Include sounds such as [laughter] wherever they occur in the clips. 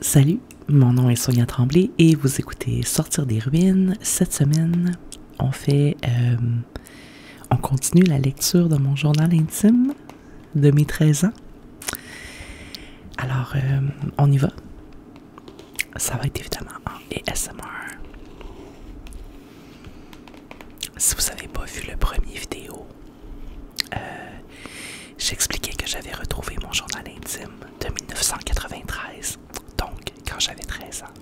Salut, mon nom est Sonia Tremblay et vous écoutez Sortir des ruines. Cette semaine, on fait, euh, on continue la lecture de mon journal intime de mes 13 ans. Alors, euh, on y va. Ça va être évidemment en ASMR. Si vous n'avez pas vu le premier vidéo, euh, j'expliquais que j'avais retrouvé mon journal intime de 1993, donc quand j'avais 13 ans.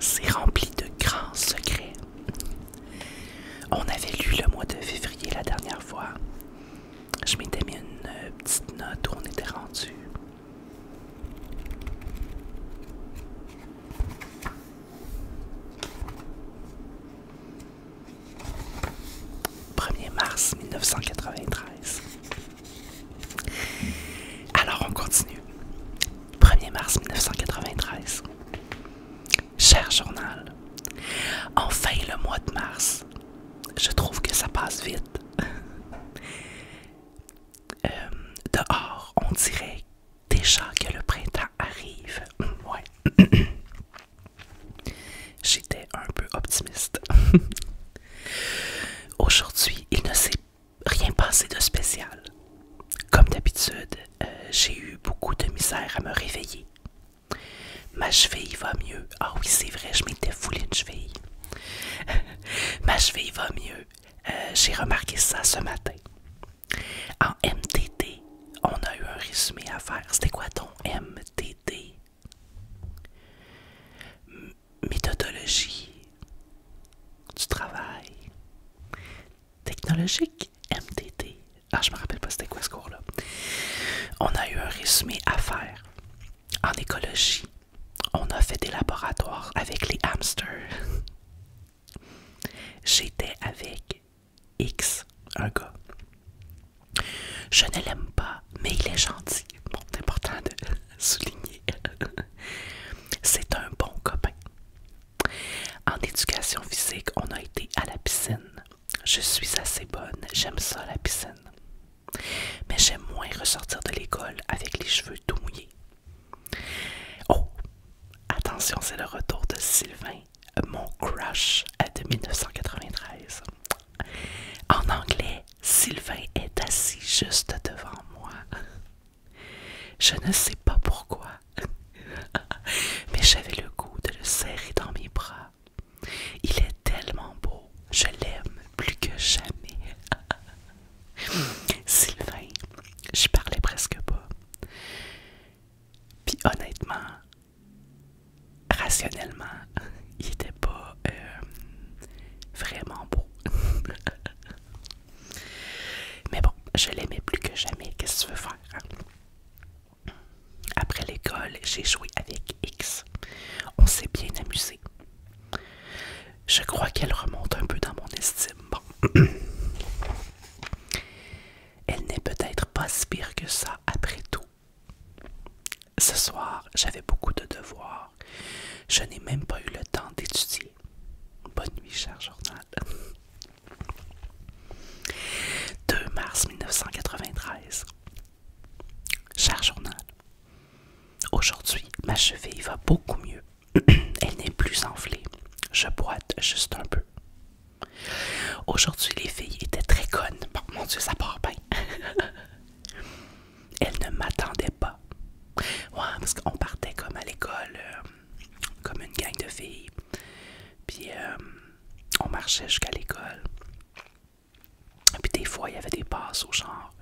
C'est rempli de grands secrets on avait lu le mois de février la dernière fois. Je m'étais mis une euh, petite note où on était rendu. « 1er mars 1993 ». Alors, on continue. « 1er mars 1993 ». Cher journal, enfin le mois de mars. Je trouve que ça passe vite. [laughs] Euh, dehors, on dirait déjà que le printemps arrive. Mm, [coughs] J'étais un peu optimiste. [laughs] Aujourd'hui, il ne s'est rien passé de spécial. Comme d'habitude, euh, j'ai eu beaucoup de misère à me réveiller. Ma cheville va mieux. Ah oui, c'est vrai, je m'étais foulée une cheville. [laughs] Ma cheville va mieux. Euh, j'ai remarqué ça ce matin. En MTT, on a eu un résumé à faire. C'était quoi ton MTT? méthodologie du travail technologique. MDT. Ah, je me rappelle pas c'était quoi ce cours-là. On a eu un résumé à faire. En écologie, on a fait des laboratoires avec les hamsters. J'étais avec X, un gars. Je ne l'aime pas, mais il est gentil. Bon, c'est important de [laughs] souligner. [laughs] c'est un bon copain. En éducation physique, on a été à la piscine. Je suis assez bonne, j'aime ça la piscine. Mais j'aime moins ressortir de l'école avec les cheveux tout mouillés. Oh, attention, c'est le retour de Sylvain, mon crush de 1993. En anglais, Sylvain est assis juste devant moi. Je ne sais pas pourquoi, [laughs] Mais j'avais le goût de le serrer dans mes bras. Il est tellement beau, je l'aime plus que jamais. [laughs] Sylvain, je parlais presque pas. Puis honnêtement, rationnellement, [laughs] il était pas euh, vraiment beau. Mais bon, je l'aimais plus que jamais. Qu'est-ce que tu veux faire? Hein? Après l'école, j'ai joué avec X. On s'est bien amusé. Je crois qu'elle remonte un peu dans mon estime. [clears throat] Elle n'est peut-être pas si pire que ça après tout. Ce soir, j'avais beaucoup de devoirs. Je n'ai même pas eu le temps d'étudier. Bonne nuit, cher journal. 2 mars 1993. Cher journal, aujourd'hui, ma cheville va beaucoup mieux. [clears throat] Elle n'est plus enflée. Je boite juste un peu. Aujourd'hui, les filles étaient très connes. mon Dieu, ça part bien. [laughs] Elles ne m'attendaient pas. Ouais, parce qu'on partait comme à l'école, euh, comme une gang de filles. Puis euh, on marchait jusqu'à l'école. Puis des fois, il y avait des passes au genre.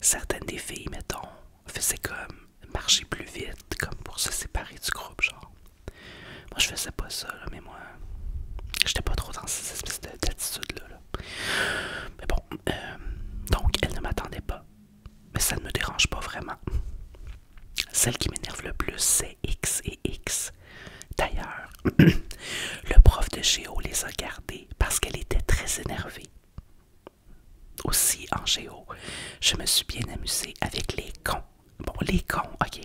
Certaines des filles, mettons, faisaient comme marcher plus vite, comme pour se séparer du groupe, genre. Moi, je faisais pas ça, là, mais moi, j'étais pas trop dans cette espèce d'attitude-là. Mais bon, euh, donc, elle ne m'attendait pas mais ça ne me dérange pas vraiment. Celle qui m'énerve le plus, c'est X et X. D'ailleurs, [clears throat] le prof de géo les a gardés parce qu'elle était très énervée. Aussi, en géo, je me suis bien amusée avec les cons. Bon, les cons, ok.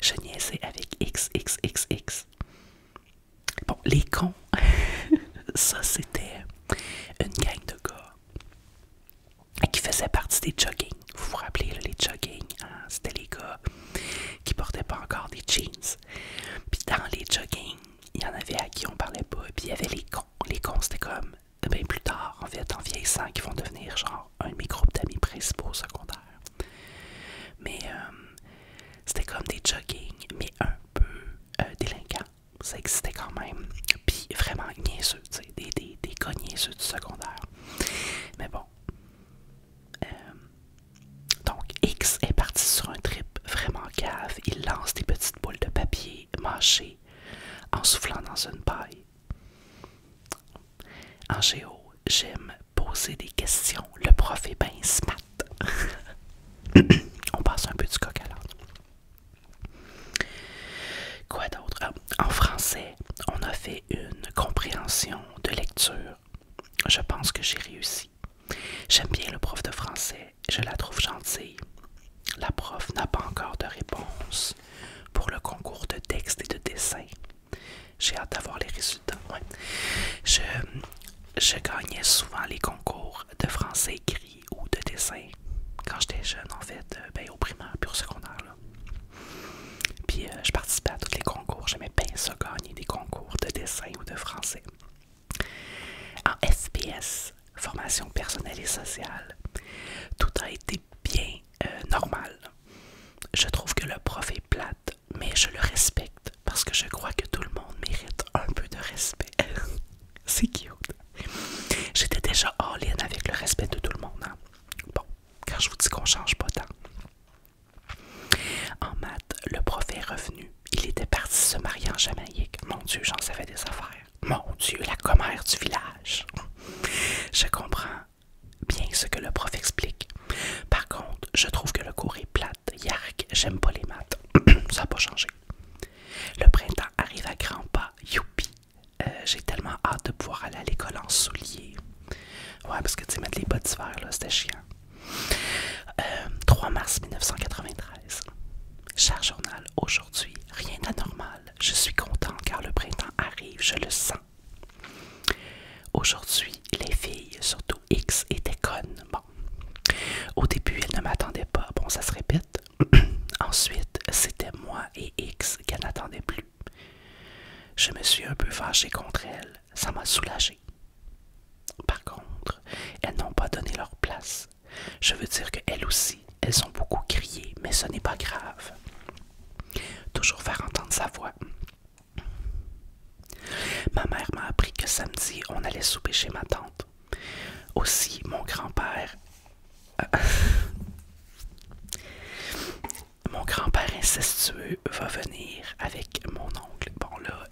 Je niaisais avec X, X, X, X. Bon, les cons, [laughs] ça c'était une gang de gars qui faisait partie des joggings. Vous vous rappelez, les jogging, hein? c'était les gars qui portaient pas encore des jeans. Puis dans les joggings, il y en avait à qui on parlait pas. Puis il y avait les cons. Les cons, c'était comme, bien plus tard, en fait, en vieillissant, qui vont devenir genre un de mes groupes d'amis principaux secondaires. Mais euh, c'était comme des jogging, mais un peu euh, délinquants ça existait quand même. Puis vraiment niaiseux, tu sais, des, des, gars niaiseux du secondaire. Mais bon. Euh, donc, X est parti sur un trip vraiment cave. Il lance des petites boules de papier mâchées en soufflant dans une paille. En géo, j'aime poser des questions. Le prof est bien smart. [coughs] On passe un peu du coq à Quoi d'autre? Ah, en français, on a fait une compréhension de lecture. Je pense que j'ai réussi. J'aime bien le prof de français, je la trouve gentille. La prof n'a pas encore de réponse pour le concours de texte et de dessin. J'ai hâte d'avoir les résultats. je gagnais souvent les concours de français écrit ou de dessin quand j'étais jeune, en fait, euh, ben, au primaire puis au secondaire. Puis euh, je participais à tous les concours. J'aimais bien ça gagner des concours de dessin ou de français. En SPS, formation personnelle et sociale, tout a été bien euh, normal. Je trouve que le prof est plate, mais je le respecte parce que je crois que tout le monde mérite un peu de respect. [laughs] C'est cute. J'étais déjà en in avec le respect de tout le monde. Hein. Bon, quand je vous dis qu'on change pas tant. En maths, le prof est revenu. Il était parti se marier en Jamaïque. Mon Dieu, j'en savais des affaires. Mon Dieu, la commère du village. Je comprends bien ce que le prof explique. Par contre, je trouve que le cours est plat. Yark, j'aime pas les maths. [clears throat] Ça n'a pas changé. Le printemps arrive à grands pas. Youpi, euh, j'ai tellement hâte de pouvoir aller à l'école en souliers. Ouais, parce que tu sais, mettre les bottes d'hiver, là, c'était chiant. 3 euh, mars 1993. Cher journal, aujourd'hui, rien d'anormal. Je suis content car le printemps arrive, je le sens. Aujourd'hui, les filles, surtout X, étaient connes. Bon. Au début, elles ne m'attendaient pas. Bon, ça se répète. [coughs] Ensuite, c'était moi et X qu'elle n'attendait plus. Je me suis un peu fâché contre elle, ça m'a soulagé. Par contre, elles n'ont pas donné leur place. Je veux dire qu'elles aussi, elles ont beaucoup crié, mais ce n'est pas grave. Toujours faire entendre sa voix. Ma mère m'a appris que samedi, on allait souper chez ma tante. Aussi, mon grand-père... Euh, [laughs] mon grand-père incestueux va venir avec mon oncle. Bon là...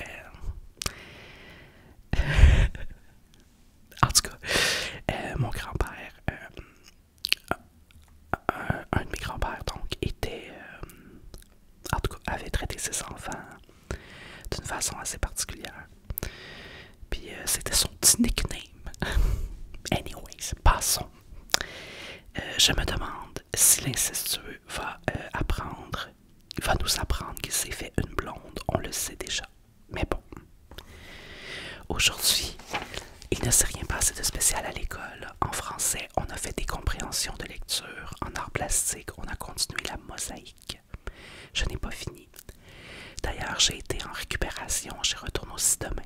Euh, [laughs] en tout cas, euh, mon grand-père... Un, de mes grands-pères, donc, était. avait traité ses enfants d'une façon assez particulière. Puis euh, c'était son petit nickname. [laughs] Anyways, passons. Euh, je me demande si l'incestueux va euh, apprendre, va nous apprendre qu'il s'est fait une blonde, on le sait déjà. Mais bon. Aujourd'hui, il ne s'est rien passé de spécial à l'école. En français, on a fait des compréhensions de lecture. En art plastique, on a continué la mosaïque. Je n'ai pas fini. D'ailleurs, j'ai été en récupération, j'y retourne aussi demain.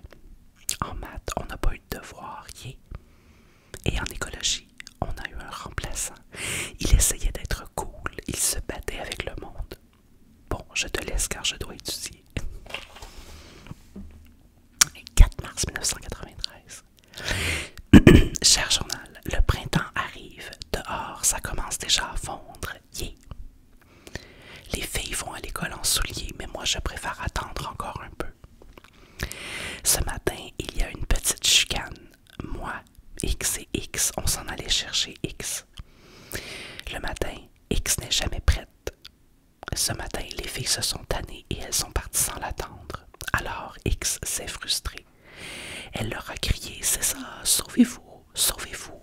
En maths, on n'a pas eu de devoir, yeah. Et en écologie, on a eu un remplaçant. Il essayait d'être cool, il se battait avec le monde. Bon, je te laisse car je dois étudier. 4 mars 1993. [clears throat] Cher journal, le printemps arrive. Dehors, ça commence déjà à fondre. Yeah. Les filles vont à l'école en souliers, mais moi je préfère attendre encore un peu. Ce matin, il y a une petite chicane. Moi, X et X, on s'en allait chercher X. Le matin, X n'est jamais prête. Ce matin, les filles se sont tannées et elles sont parties sans l'attendre. Alors, X s'est frustrée. Elle leur a crié C'est ça, sauvez-vous, sauvez-vous.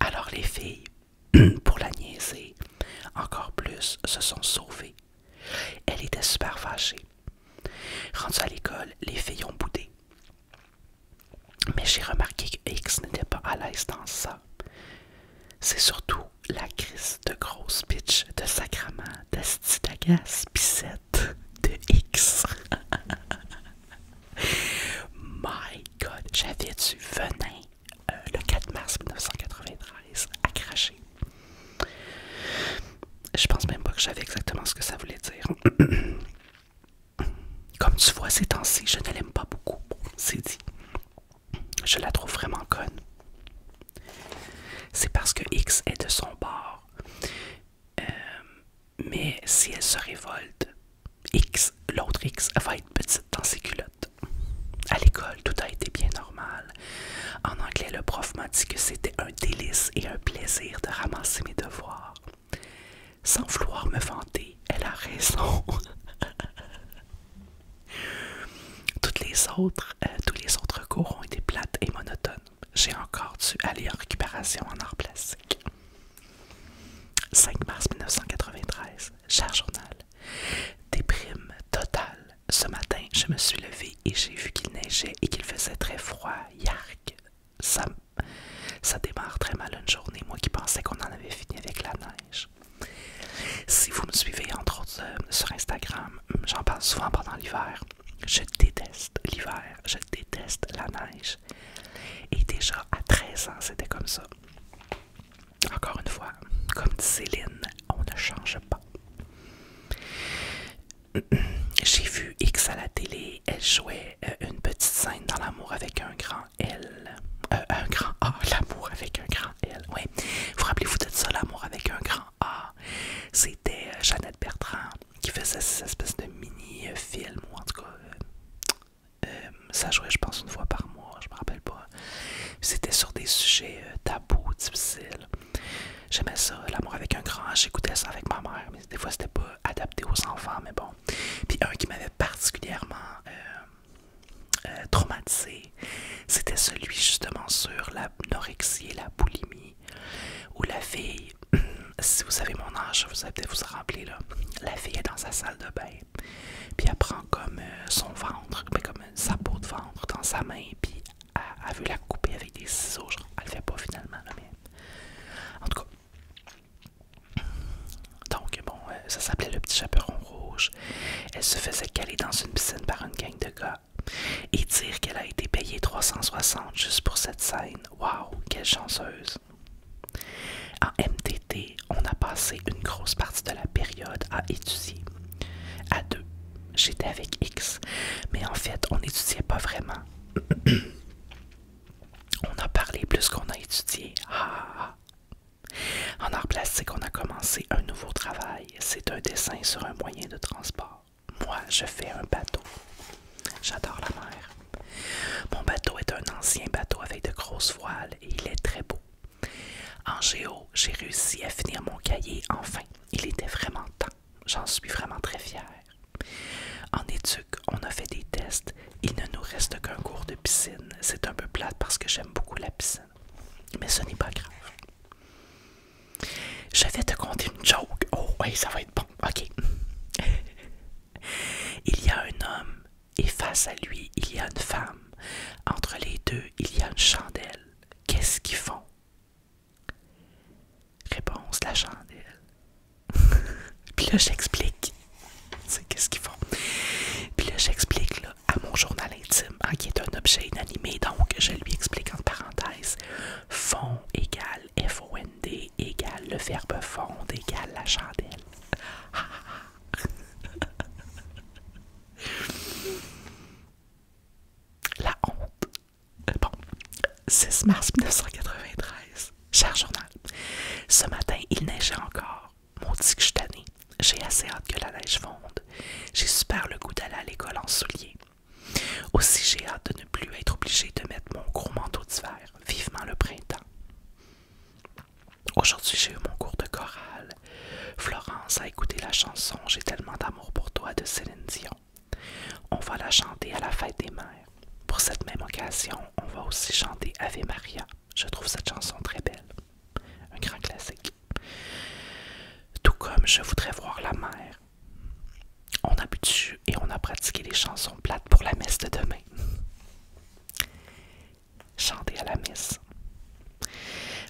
Alors les filles, [clears throat] pour la niaiser, encore plus, se sont sauvées. Elle était super fâchée. Rendue à l'école, les filles ont boudé. Mais j'ai remarqué que X n'était pas à l'aise dans ça. C'est surtout la crise de grosse bitch de sacrament d'Astitagas Pissette de X. [laughs] [laughs] My God, j'avais du venin euh, le 4 mars 1993 à cracher. Je pense même pas que j'avais exactement ce que ça voulait dire. [coughs] Comme tu vois, ces temps-ci, je ne l'aime pas beaucoup. C'est dit. Je la trouve vraiment conne. C'est parce que X est de son bord. Euh, mais si elle se révolte, X, l'autre X va être petite dans ses culottes. À l'école, tout a été bien normal. En anglais, le prof m'a dit que c'était un délice et un plaisir de ramasser mes devoirs. Sans vouloir me vanter, elle a raison. [laughs] Toutes les autres, euh, tous les autres cours ont été plates et monotones. J'ai encore dû aller en récupération en art plastique. 5 mars 1993, cher journal. Déprime totale. Ce matin, je me suis levée et j'ai vu qu'il neigeait et qu'il faisait très froid. Yark! Ça, ça démarre très mal une journée, moi qui pensais qu'on en avait fini avec la neige. Si vous me suivez, entre autres, euh, sur Instagram, j'en parle souvent pendant l'hiver. Je déteste l'hiver, je déteste la neige. Et déjà, à 13 ans, c'était comme ça. Encore une fois, comme dit Céline, on ne change pas. [clears throat] J'ai vu X à la télé, elle jouait euh, une petite scène dans l'amour avec un grand L. Euh, un grand A, [laughs] l'amour avec un grand L, oui. Vous rappelez-vous de ça, l'amour avec un grand A? C'était euh, Jeannette Bertrand qui faisait cette espèce de mini-film, ou en tout cas, euh, ça jouait, je pense, une fois par mois, je me rappelle pas. C'était sur des sujets euh, tabous, difficiles. J'aimais ça, l'amour avec un grand, j'écoutais ça avec ma mère, mais des fois c'était pas adapté aux enfants, mais bon. Puis un qui m'avait particulièrement euh, traumatisé, c'était celui justement sur l'anorexie et la boulimie, où la fille [clears throat] si vous savez mon âge, vous allez vous en rappeler, là. La fille est dans sa salle de bain, puis elle prend comme euh, son ventre, mais comme sa peau de ventre dans sa main, puis a vu la couper avec des ciseaux. elle fait pas finalement, la mais. En tout cas. Donc, bon, euh, ça s'appelait le petit chaperon rouge. Elle se faisait caler dans une piscine par une gang de gars. Et dire qu'elle a été payée 360 juste pour cette scène. Waouh, quelle chanceuse! En MTT, on a passé une grosse partie de la période à étudier. À deux, j'étais avec X, mais en fait, on n'étudiait pas vraiment. [clears throat] on a parlé plus qu'on a étudié. Ah. En art plastique, on a commencé un nouveau travail. C'est un dessin sur un moyen de transport. Moi, je fais un bateau. J'adore la mer. Mon bateau est un ancien bateau avec de grosses voiles et il est très beau. En géo, j'ai réussi à finir mon cahier enfin. Il était vraiment temps. J'en suis vraiment très fière. En éduque, on a fait des tests. Il ne nous reste qu'un cours de piscine. C'est un peu plate parce que j'aime beaucoup la piscine. Mais ce n'est pas grave. Je vais te conter une joke. Oh, oui, ça va être bon. OK. [laughs] Il y a un homme et face à lui il y a une femme. Entre les deux il y a une chandelle. Qu'est-ce qu'ils font Réponse la chandelle. [laughs] Puis là j'explique. C'est qu'est-ce qu'ils font. Puis là j'explique à mon journal intime, hein, qui est un objet inanimé, donc je lui explique en parenthèse. Fond égale f Égal égale le verbe fonde égale la chandelle. [laughs] la honte. Bon, 6 mars 1993. Cher journal, ce matin, il neigeait encore. Maudit que je J'ai assez hâte que la neige fonde. J'ai super le goût d'aller à l'école en souliers. Aussi, j'ai hâte de ne plus être obligé de mettre mon gros manteau d'hiver. Vivement le printemps. Aujourd'hui, j'ai eu mon cours de chorale. Florence a écouté la chanson J'ai tellement d'amour pour toi de Céline Dion. On va la chanter à la fête des mères. Pour cette même occasion, on va aussi chanter Ave Maria. Je trouve cette chanson très belle. Un grand classique. Tout comme Je voudrais voir la mer. On a bu dessus et on a pratiqué les chansons plates pour la messe de demain chanter à la messe.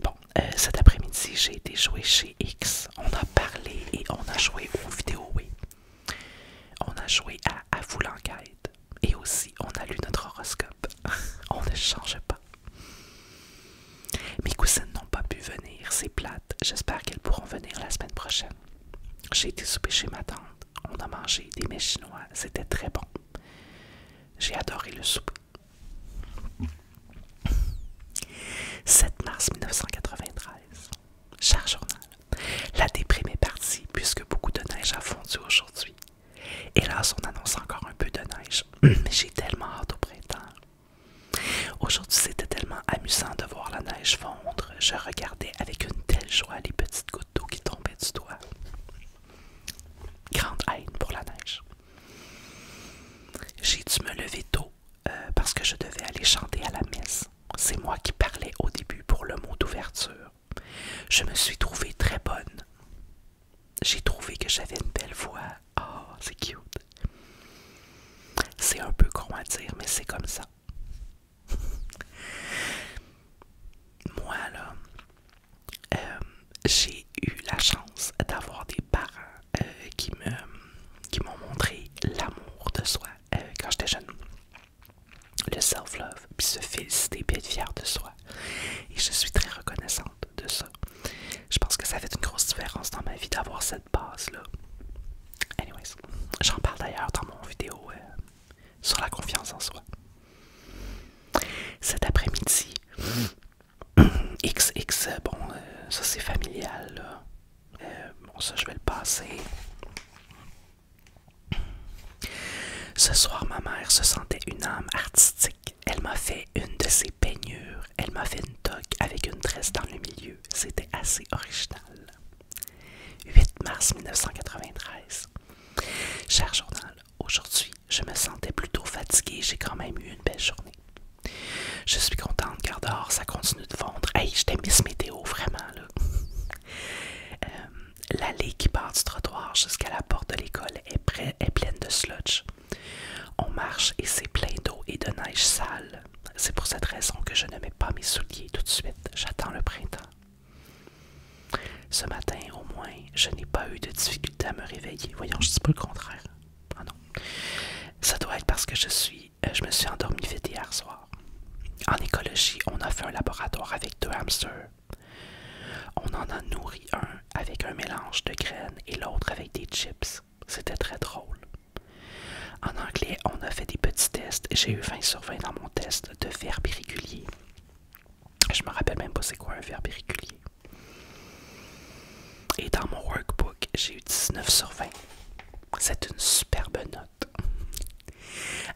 Bon, euh, cet après-midi, j'ai été jouer chez X. On a parlé et on a joué aux vidéo. oui. On a joué à À Et aussi, on a lu notre horoscope. [laughs] on ne change pas. Mes cousines n'ont pas pu venir, c'est plate. J'espère qu'elles pourront venir la semaine prochaine. J'ai été souper chez ma tante. On a mangé des mets chinois, c'était très bon. J'ai adoré le soupe. 7 mars 1993. Cher journal, la déprime est partie puisque beaucoup de neige a fondu aujourd'hui. Hélas, on annonce encore un peu de neige, [clears throat] mais j'ai tellement hâte au printemps. Aujourd'hui, c'était tellement amusant de voir la neige fondre je regardais avec une telle joie les petites gouttes d'eau qui tombaient du toit. Grande haine pour la neige. J'ai dû me lever tôt euh, parce que je devais aller chanter à la messe. C'est moi qui parlais au début pour le mot d'ouverture. Je me suis trouvée très bonne. J'ai trouvé que j'avais une belle voix. Oh, c'est cute. C'est un peu con à dire, mais c'est comme ça. [laughs] Moi, là, euh, j'ai eu la chance d'avoir des parents euh, qui m'ont montré l'amour de soi euh, quand j'étais jeune. Le self-love, puis se féliciter, puis être fier de soi. Et je suis très reconnaissante de ça. Je pense que ça fait une grosse différence dans ma vie d'avoir cette base-là. Anyways, j'en parle d'ailleurs dans mon vidéo sur la confiance en soi. Cet après-midi, XX, [clears throat] bon, euh, ça c'est familial, euh, bon, ça je vais le passer. Ce soir, ma mère se sentait une âme artistique. Elle m'a fait une de ses peignures. Elle m'a fait une toque avec une tresse dans le milieu. C'était assez original. 8 mars 1993. Cher journal, aujourd'hui, je me sentais plutôt fatigué, j'ai quand même eu une belle journée. Je suis contente car dehors, ça continue de vendre. Hey, je ce Météo, vraiment, là. Euh, l'allée qui part du trottoir jusqu'à la porte de l'école est, est pleine de sludge. On marche et c'est plein d'eau et de neige sale. C'est pour cette raison que je ne mets pas mes souliers tout de suite. J'attends le printemps. Ce matin, au moins, je n'ai pas eu de difficulté à me réveiller. Voyons, je dis pas le contraire. Ah non. Ça doit être parce que je suis, euh, je me suis endormi vite hier soir. En écologie, on a fait un laboratoire avec deux hamsters. On en a nourri un avec un mélange de graines et l'autre avec des chips. C'était très drôle. En anglais, on a fait des petits tests. J'ai eu 20 sur 20 dans mon test de verbe irrégulier. Je me rappelle même pas c'est quoi un verbe irrégulier. Et dans mon workbook, j'ai eu 19 sur 20. C'est une superbe note.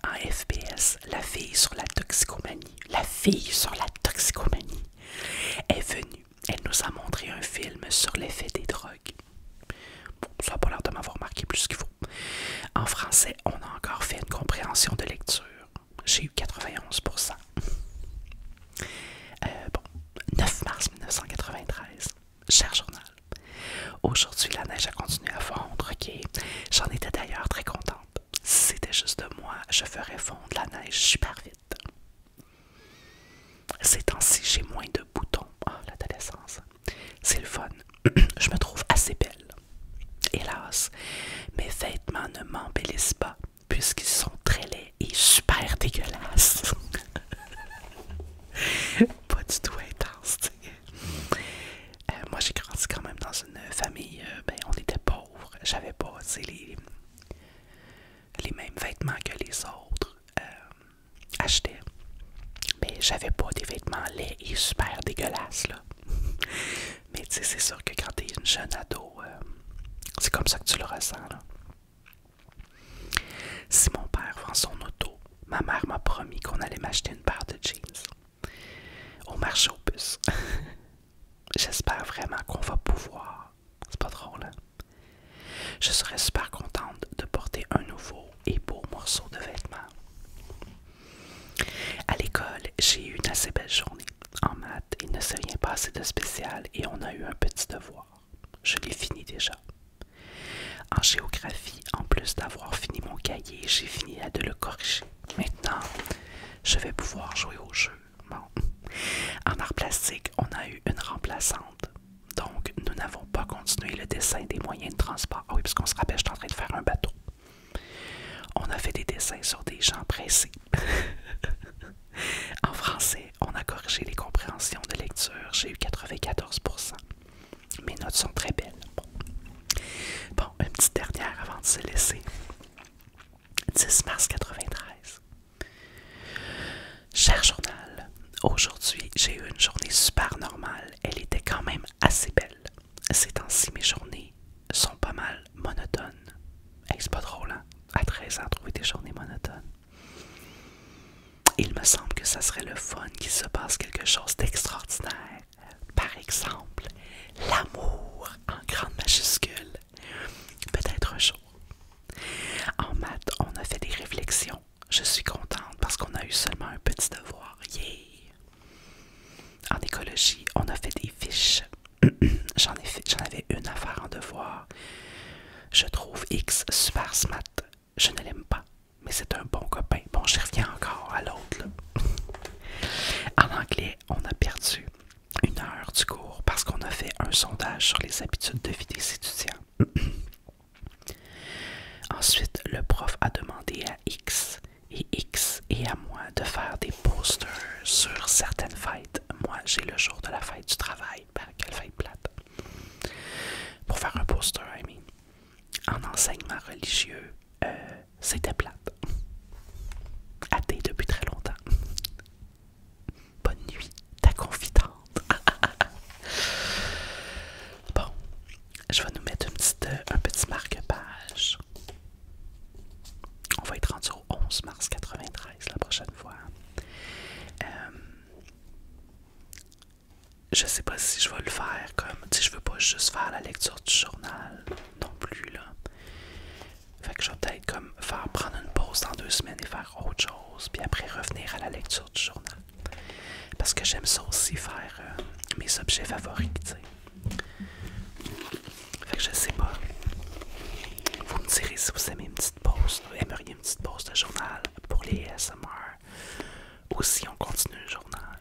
En FPS, la fille sur la toxicomanie, la fille sur la toxicomanie est venue. Elle nous a montré un film sur l'effet des drogues. Bon, ça n'a pas l'air de m'avoir marqué plus qu'il faut. En français, on a encore fait une compréhension de lecture. J'ai eu 91%. Euh, bon, 9 mars 1993. Cher journal. Aujourd'hui, la neige a continué à fondre, ok? J'en étais d'ailleurs très contente. Si c'était juste de moi, je ferais fondre la neige super vite. Ces temps-ci, j'ai moins de boutons. à ah, l'adolescence. C'est le fun. [clears throat] Je me trouve assez belle. Hélas, mes vêtements ne m'embellissent pas puisqu'ils sont très laids et super dégueulasses. [laughs] pas du tout intense, euh, moi, j'ai grandi quand même dans une famille, euh, ben, on était pauvres. J'avais pas, tu les, les mêmes vêtements que les autres. Euh, acheter, Mais j'avais pas des vêtements laids et super dégueulasses, là. [laughs] Mais tu sais, c'est sûr que quand t'es une jeune ado, euh, c'est comme ça que tu le ressens, là. Si mon père vend son auto, ma mère m'a promis qu'on allait m'acheter une paire de jeans au marché au bus. [laughs] J'espère vraiment qu'on va pouvoir. C'est pas drôle, hein? Je serais super contente de porter un nouveau et beaux morceaux de vêtements. À l'école, j'ai eu une assez belle journée. En maths, il ne s'est rien passé de spécial et on a eu un petit devoir. Je l'ai fini déjà. En géographie, en plus d'avoir fini mon cahier, j'ai fini à de le corriger. Maintenant, je vais pouvoir jouer au jeu. En art plastique, on a eu une remplaçante. Donc, nous n'avons pas continué le dessin des moyens de transport ah oui, parce qu'on se rappelle, suis en train de faire un bateau. On a fait des dessins sur des gens pressés. [laughs] en français, on a corrigé les compréhensions de lecture. J'ai eu 94 Mes notes sont très belles. Bon, un une petite dernière avant de se laisser. 10 mars 93. Cher journal, aujourd'hui, j'ai eu une journée super normale. Elle était quand même assez belle. C'est temps-ci, mes journées sont pas mal monotones. Hey, C'est pas drôle, hein? À 13 ans, trouver des journées monotones. Il me semble que ça serait le fun qu'il se passe quelque chose d'extraordinaire. Par exemple, l'amour en grande majuscule. Peut-être un jour. En maths, on a fait des réflexions je suis contente parce qu'on a eu seulement un petit devoir. Yeah! En écologie, on a fait des fiches. [clears throat] J'en avais une à faire en devoir. Je trouve X super smart. Je ne l'aime pas, mais c'est un bon copain. Bon, j'y reviens encore à l'autre. [laughs] en anglais, on a perdu une heure du cours parce qu'on a fait un sondage sur les habitudes de vie des étudiants. [clears throat] Ensuite, le prof a demandé à X et X et à moi de faire des posters sur certaines fêtes. Moi, j'ai le jour de la fête du travail. Bah, quelle fête plate! Pour faire un poster, I mean. En enseignement religieux, euh, c'était plate. Athée depuis très longtemps. Bonne nuit, ta confidente. [laughs] Bon, je vais nous mettre euh, un petit marque-page. On va être rendu au 11 mars 93 la prochaine fois. Je euh, je sais pas si je vais le faire comme. Tu sais, je veux pas juste faire la lecture du journal non plus, là. Fait que je vais peut-être comme faire prendre une pause dans deux semaines et faire autre chose, puis après revenir à la lecture du journal. Parce que j'aime ça aussi faire euh, mes objets favoris, tu sais. Fait que je sais pas. Vous me direz si vous aimez une petite pause, euh, aimeriez une petite pause de journal pour les ASMR. Ou si on continue le journal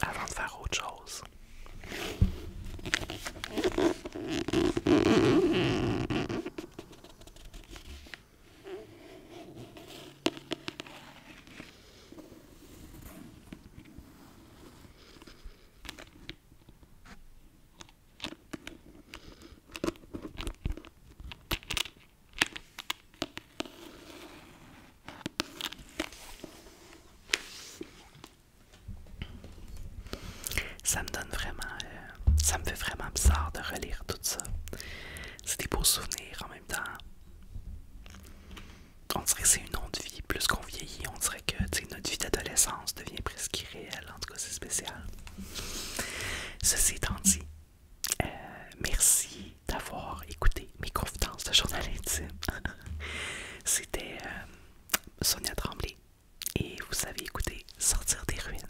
avant de faire autre chose. Ça me donne vraiment... Euh, ça me fait vraiment bizarre de relire tout ça c'est des beaux souvenirs en même temps. On dirait que c'est une autre vie. Plus qu'on vieillit, on dirait que notre vie d'adolescence devient presque irréelle. En tout cas, c'est spécial. Ceci étant dit, euh, merci d'avoir écouté mes confidences de journal intime. [laughs] C'était euh, Sonia Tremblay et vous avez écouté Sortir des ruines.